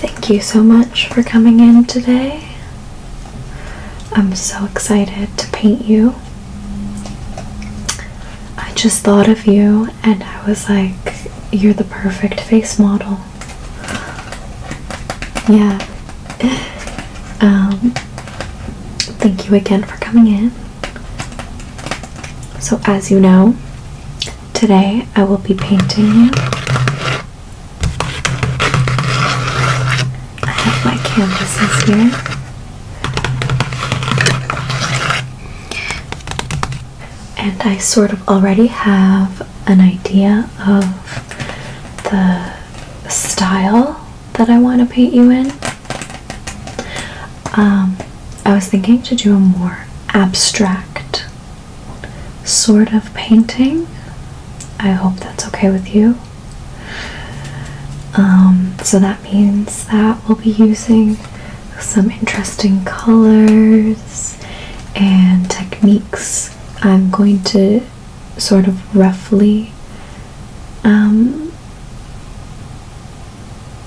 Thank you so much for coming in today. I'm so excited to paint you. I just thought of you and I was like, you're the perfect face model. Yeah. Um, thank you again for coming in. So, as you know, Today I will be painting you. I have my canvases here. And I sort of already have an idea of the style that I want to paint you in. Um, I was thinking to do a more abstract sort of painting. I hope that's okay with you. Um, so that means that we'll be using some interesting colors and techniques. I'm going to sort of roughly um,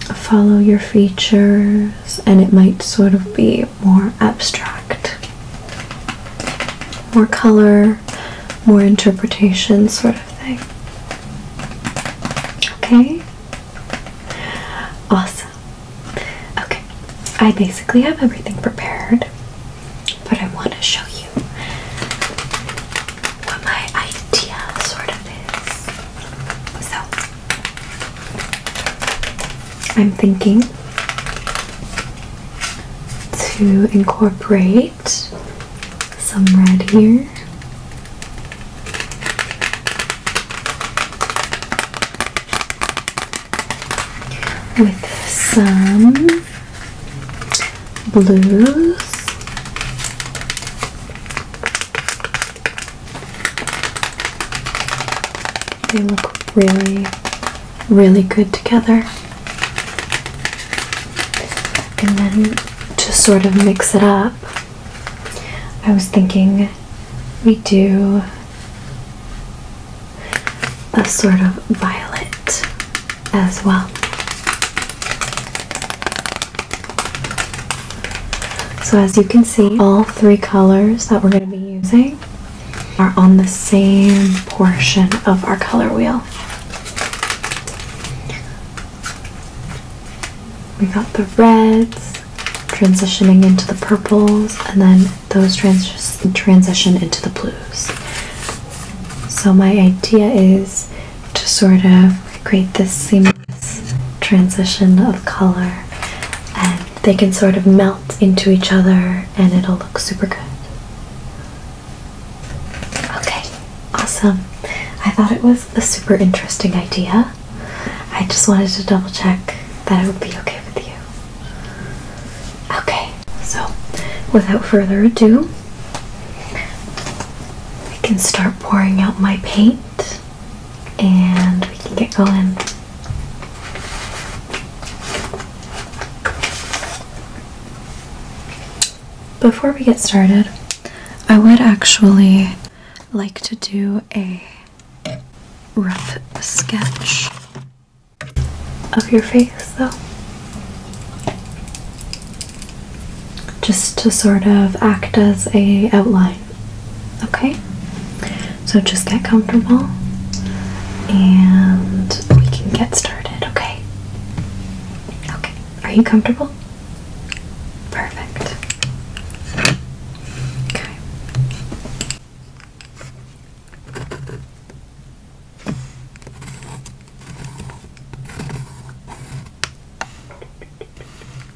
follow your features, and it might sort of be more abstract, more color, more interpretation, sort of thing. Okay? Awesome. Okay, I basically have everything prepared, but I want to show you what my idea sort of is. So, I'm thinking to incorporate some red here. With some blues they look really, really good together. And then to sort of mix it up, I was thinking we do a sort of violet as well. So as you can see, all three colors that we're going to be using are on the same portion of our color wheel. We got the reds transitioning into the purples and then those trans transition into the blues. So my idea is to sort of create this seamless transition of color and they can sort of melt into each other and it'll look super good. Okay, awesome. I thought it was a super interesting idea. I just wanted to double check that it would be okay with you. Okay, so without further ado, I can start pouring out my paint and we can get going. Before we get started, I would actually like to do a rough sketch of your face though. Just to sort of act as a outline. Okay? So just get comfortable and we can get started, okay? Okay. Are you comfortable? Perfect. Okay.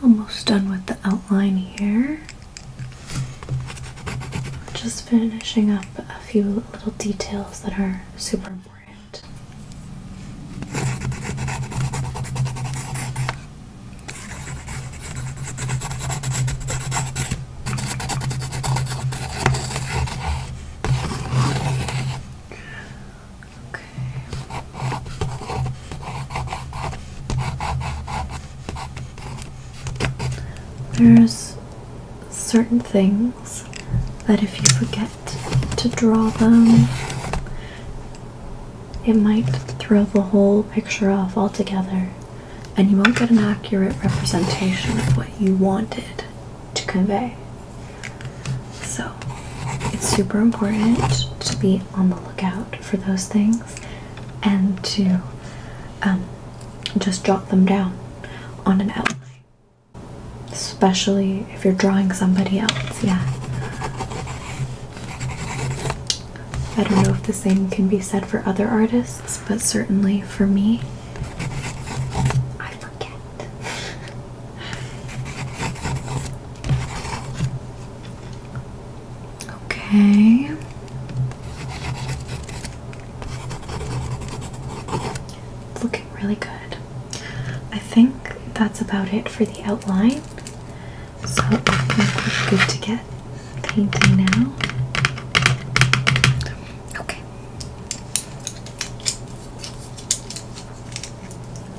Almost done with the outline here. Just finishing up a few little details that are super important. Okay. There's certain things that if you forget to draw them, it might throw the whole picture off altogether and you won't get an accurate representation of what you wanted to convey. So it's super important to be on the lookout for those things and to um, just jot them down on an outline. Especially if you're drawing somebody else, yeah. I don't know if the same can be said for other artists, but certainly for me, I forget. Okay looking really good. I think that's about it for the outline. So I think we're good to get painting now. Okay.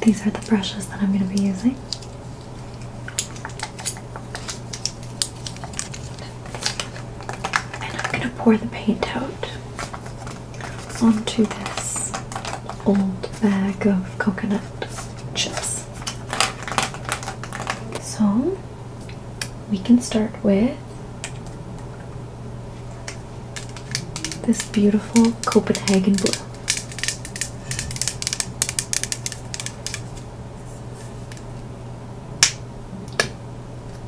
These are the brushes that I'm going to be using. And I'm going to pour the paint out onto this old bag of coconut chips. So we can start with this beautiful Copenhagen blue.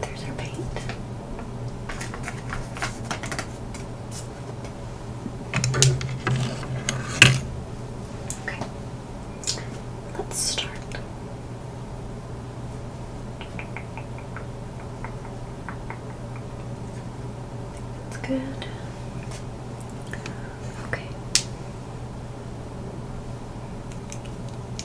There's our paint. Okay, let's start. That's good. Okay.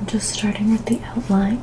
I'm just starting with the outline.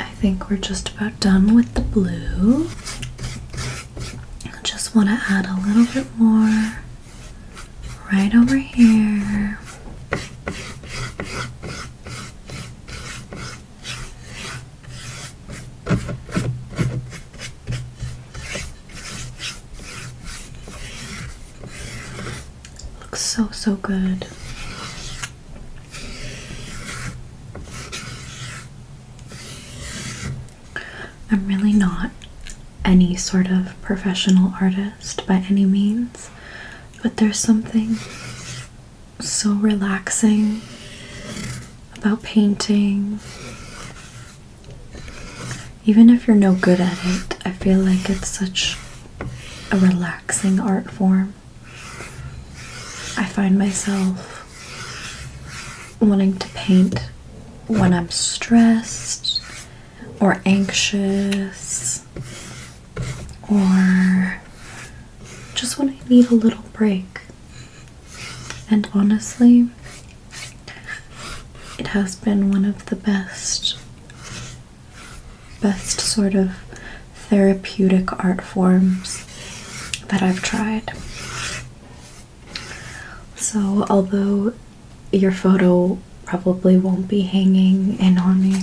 I think we're just about done with the blue. I just want to add a little bit more right over here. Looks so, so good. I'm really not any sort of professional artist by any means, but there's something so relaxing about painting. Even if you're no good at it, I feel like it's such a relaxing art form. I find myself wanting to paint when I'm stressed or anxious or just when I need a little break. And honestly, it has been one of the best best sort of therapeutic art forms that I've tried. So, although your photo probably won't be hanging in on me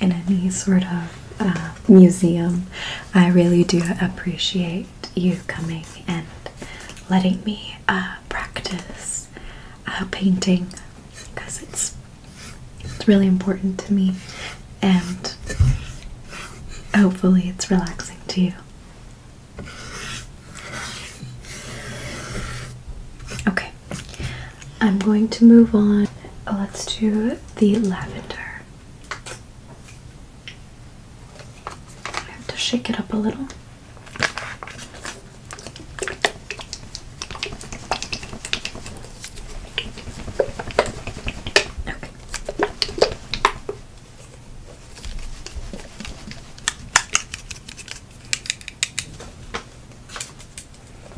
in any sort of uh, museum, I really do appreciate you coming and letting me uh, practice uh, painting because it's it's really important to me, and hopefully, it's relaxing to you. Okay, I'm going to move on. Let's do the lavender. I have to shake it up a little.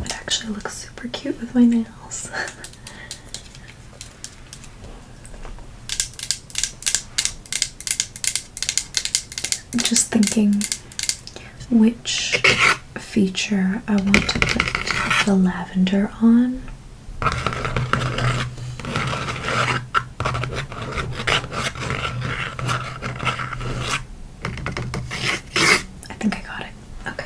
It actually looks super cute with my nails. I'm just thinking which feature I want to put the lavender on. I think I got it. Okay.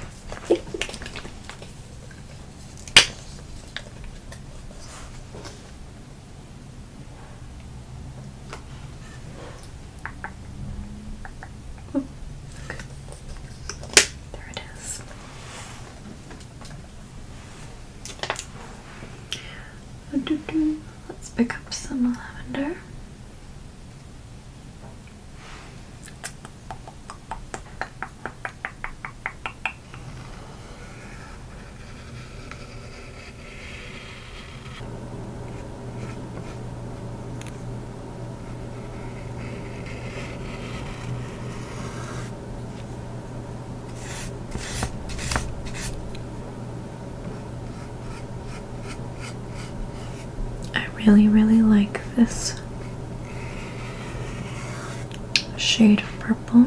There it is. Let's pick up some lavender. I really, really like this shade of purple.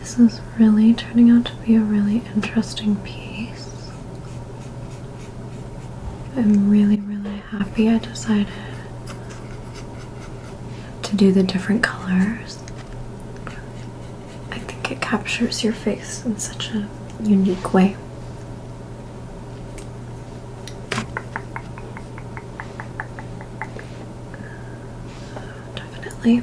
This is really turning out to be a really interesting piece. I'm really, really happy I decided to do the different colors. I think it captures your face in such a unique way. Definitely.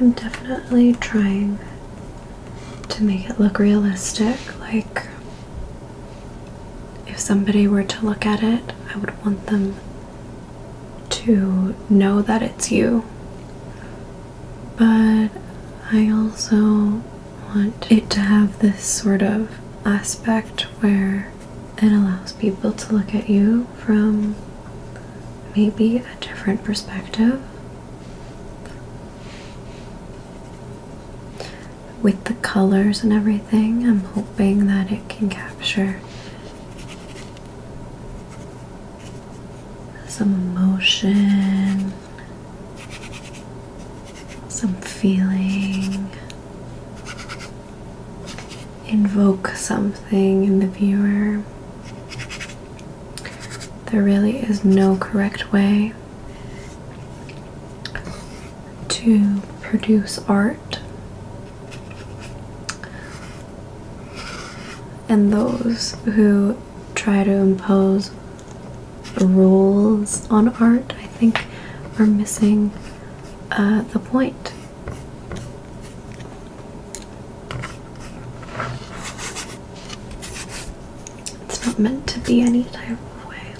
I'm definitely trying to make it look realistic, like if somebody were to look at it, I would want them to know that it's you. But I also want it to have this sort of aspect where it allows people to look at you from maybe a different perspective with the colors and everything, I'm hoping that it can capture some emotion, some feeling, invoke something in the viewer. There really is no correct way to produce art. And those who try to impose rules on art, I think, are missing uh, the point. It's not meant to be any type of way.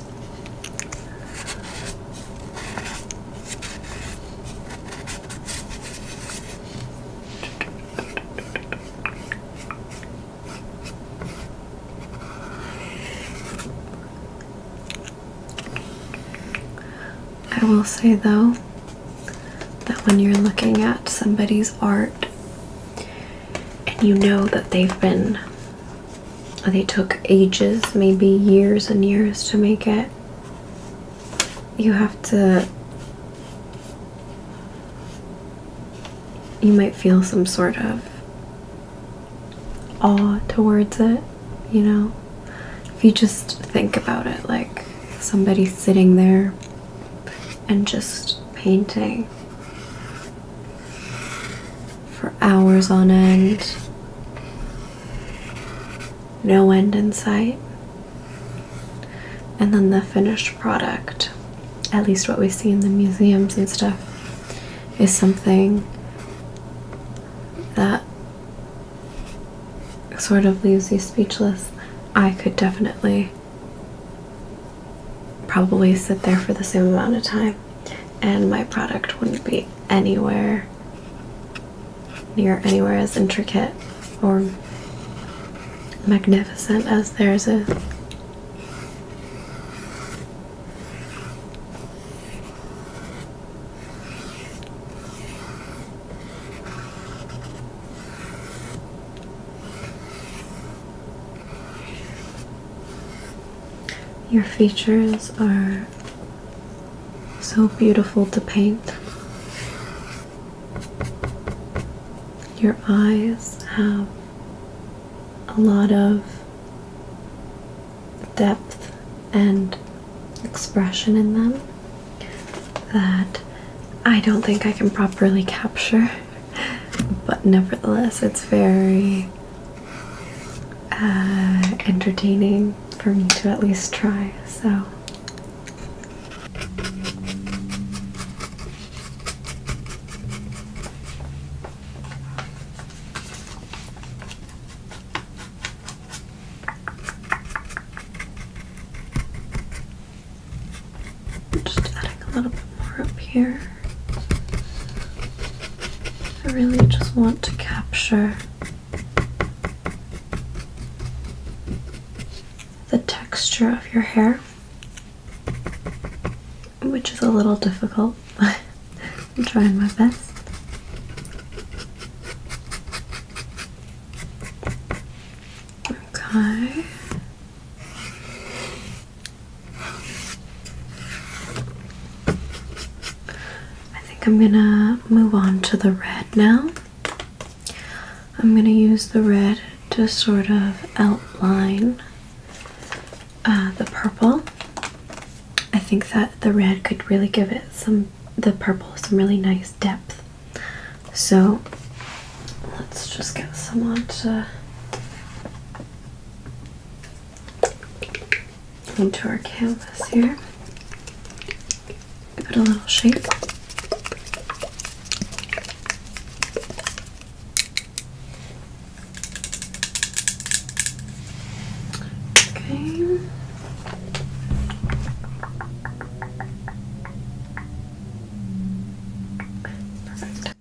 I will say though that when you're looking at somebody's art and you know that they've been they took ages, maybe years and years to make it. You have to. You might feel some sort of awe towards it, you know? If you just think about it, like somebody sitting there and just painting for hours on end. No end in sight. And then the finished product, at least what we see in the museums and stuff, is something that sort of leaves you speechless. I could definitely probably sit there for the same amount of time and my product wouldn't be anywhere near anywhere as intricate or magnificent as theirs is. Your features are so beautiful to paint. Your eyes have a lot of depth and expression in them that I don't think I can properly capture but nevertheless, it's very uh, entertaining for me to at least try. So. Just adding a little more up here. I really just want to capture the texture of your hair, which is a little difficult, I'm trying my best. Okay. I think I'm gonna move on to the red now. I'm gonna use the red to sort of outline uh, the purple. I think that the red could really give it some, the purple, some really nice depth. So let's just get someone to into our canvas here. Give it a little shape. Okay.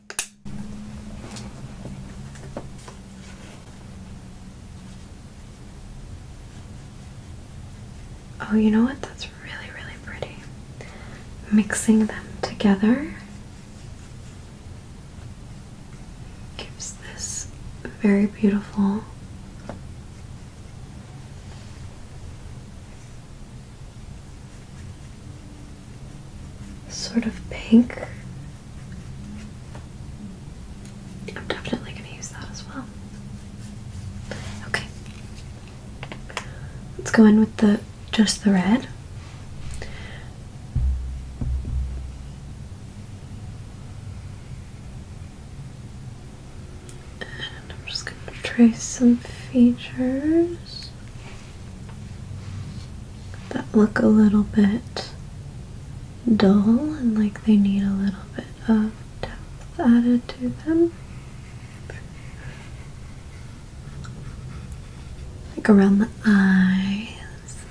Oh, you know what? That's really, really pretty. Mixing them together gives this very beautiful sort of pink. I'm definitely going to use that as well. Okay. Let's go in with the just the red. And I'm just going to trace some features that look a little bit dull and like they need a little bit of depth added to them. Like around the eyes.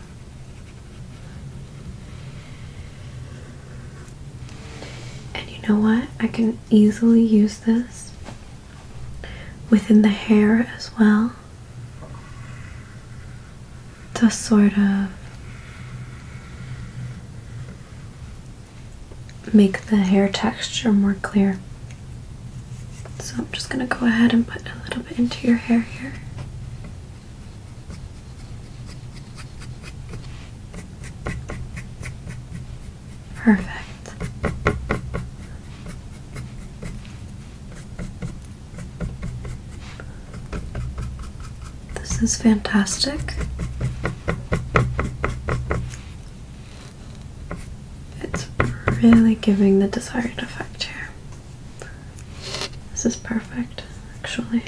And you know what? I can easily use this within the hair as well. To sort of make the hair texture more clear. So I'm just going to go ahead and put a little bit into your hair here. Perfect. This is fantastic. It's really giving the desired effect here. This is perfect, actually.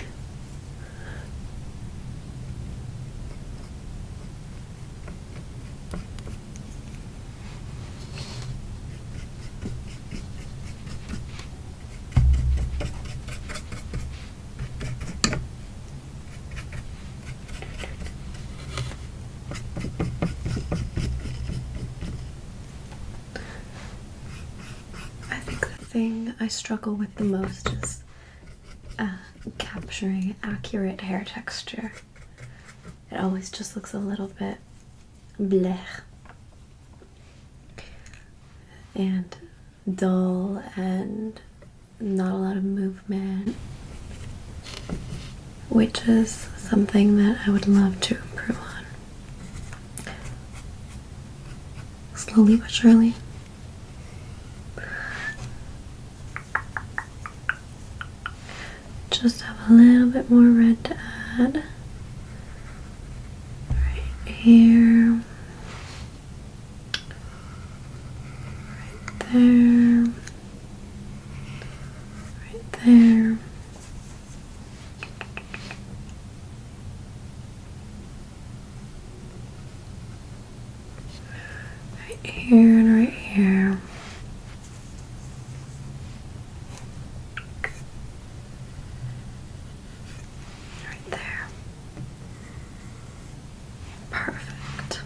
I think the thing I struggle with the most is uh, capturing accurate hair texture. It always just looks a little bit blech and dull and not a lot of movement which is something that I would love to improve on slowly but surely just have a little bit more red to add right here right there right there right here right here Right there. Perfect.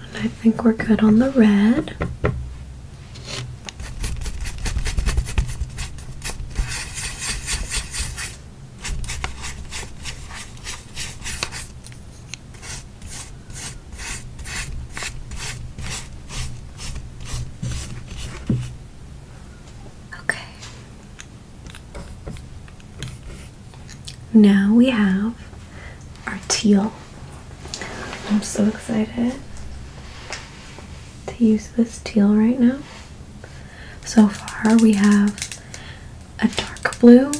And I think we're good on the red. Okay. Now we have our teal. I'm so excited to use this teal right now. So far, we have a dark blue,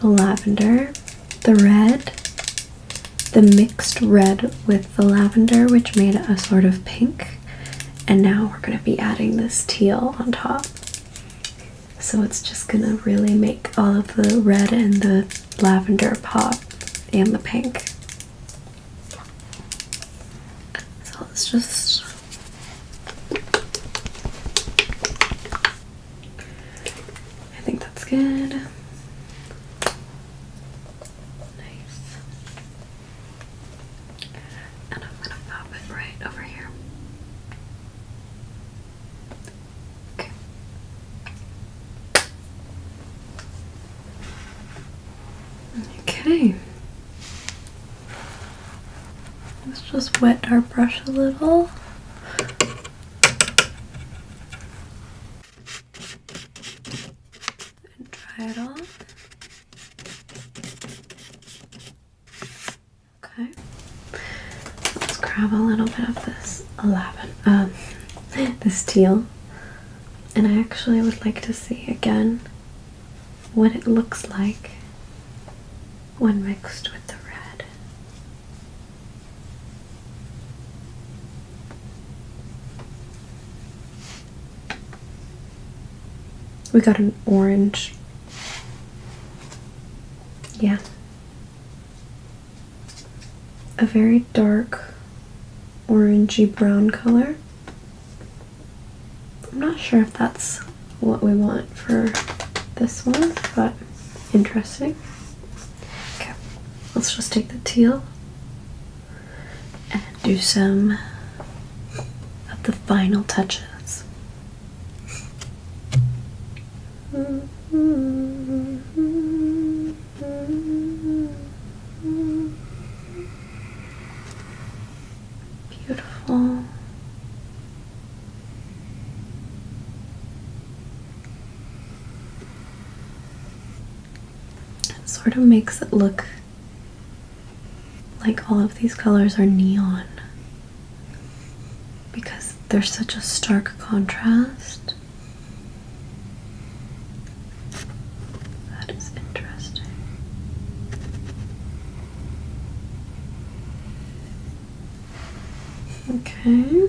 the lavender, the red, the mixed red with the lavender, which made a sort of pink. And now we're going to be adding this teal on top. So it's just going to really make all of the red and the lavender pop and the pink. So let just I think that's good. Nice. And I'm gonna pop it right over here. Okay. Okay. Let's just wet our brush a little. And dry it off. Okay. Let's grab a little bit of this lavender, um, this teal. And I actually would like to see again what it looks like when mixed with the red. We got an orange. Yeah. A very dark orangey brown color. I'm not sure if that's what we want for this one, but interesting. Okay, let's just take the teal and do some of the final touches. Beautiful. It sort of makes it look like all of these colors are neon because there's such a stark contrast. That is interesting. Okay.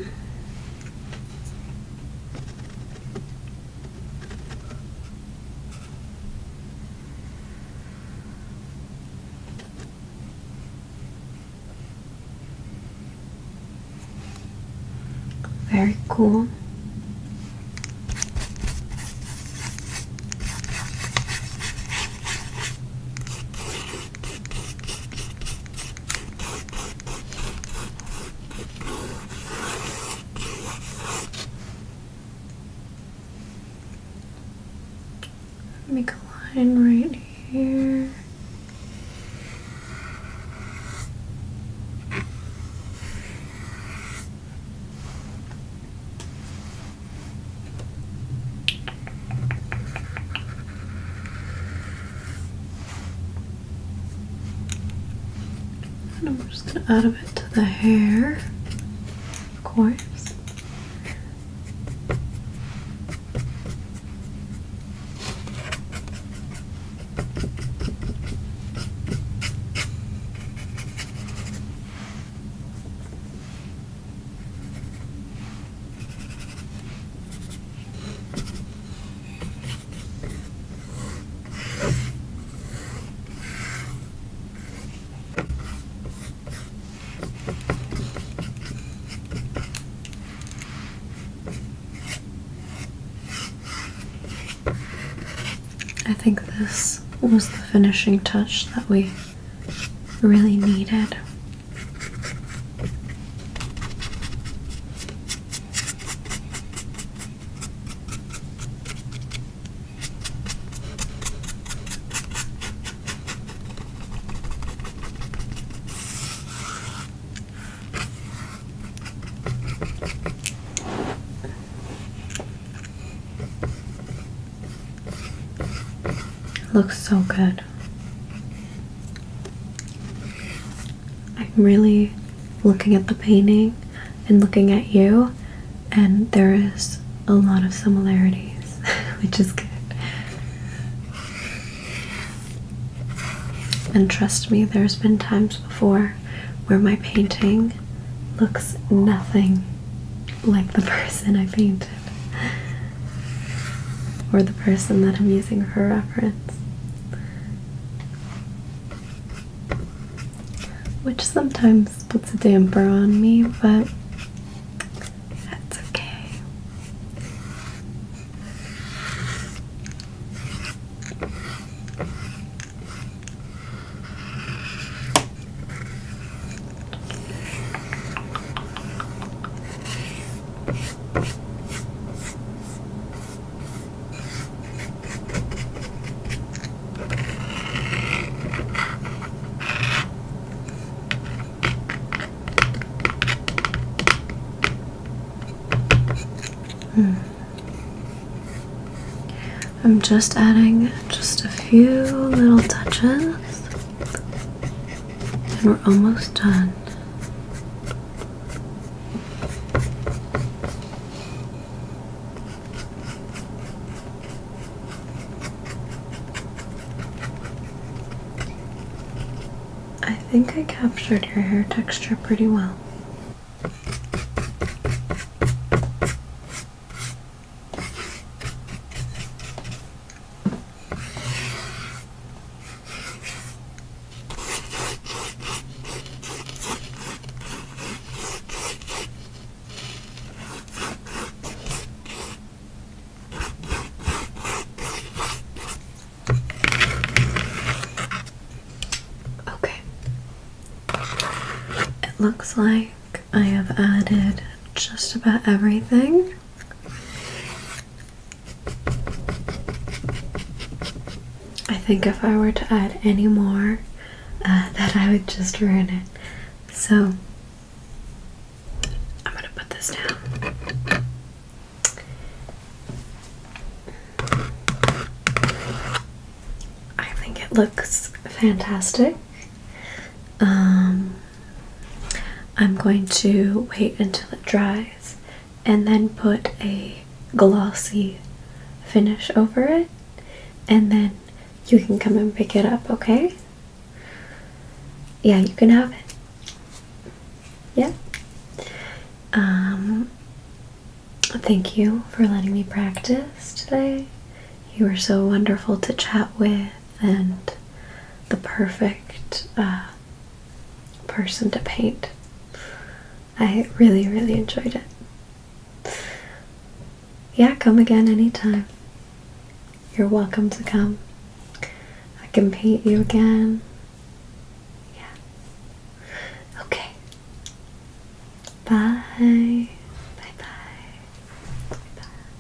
Very cool. Make a line right here. And I'm just going to add a bit to the hair, of course. I think this was the finishing touch that we really needed. Looks so good. I'm really looking at the painting and looking at you, and there is a lot of similarities, which is good. And trust me, there's been times before where my painting looks nothing like the person I painted or the person that I'm using for reference. Which sometimes puts a damper on me, but that's okay. Hmm. I'm just adding just a few little touches and we're almost done. I think I captured your hair texture pretty well. Okay. It looks like I have added just about everything. I think if I were to add any more, uh, that I would just ruin it. So I'm gonna put this down. I think it looks fantastic. Um, I'm going to wait until it dries and then put a glossy finish over it, and then you can come and pick it up, okay? Yeah, you can have it. Yeah. Um, thank you for letting me practice today. You were so wonderful to chat with and the perfect uh, person to paint. I really, really enjoyed it. Yeah, come again anytime. You're welcome to come. I can paint you again. Yeah. Okay. Bye. Bye bye. Bye.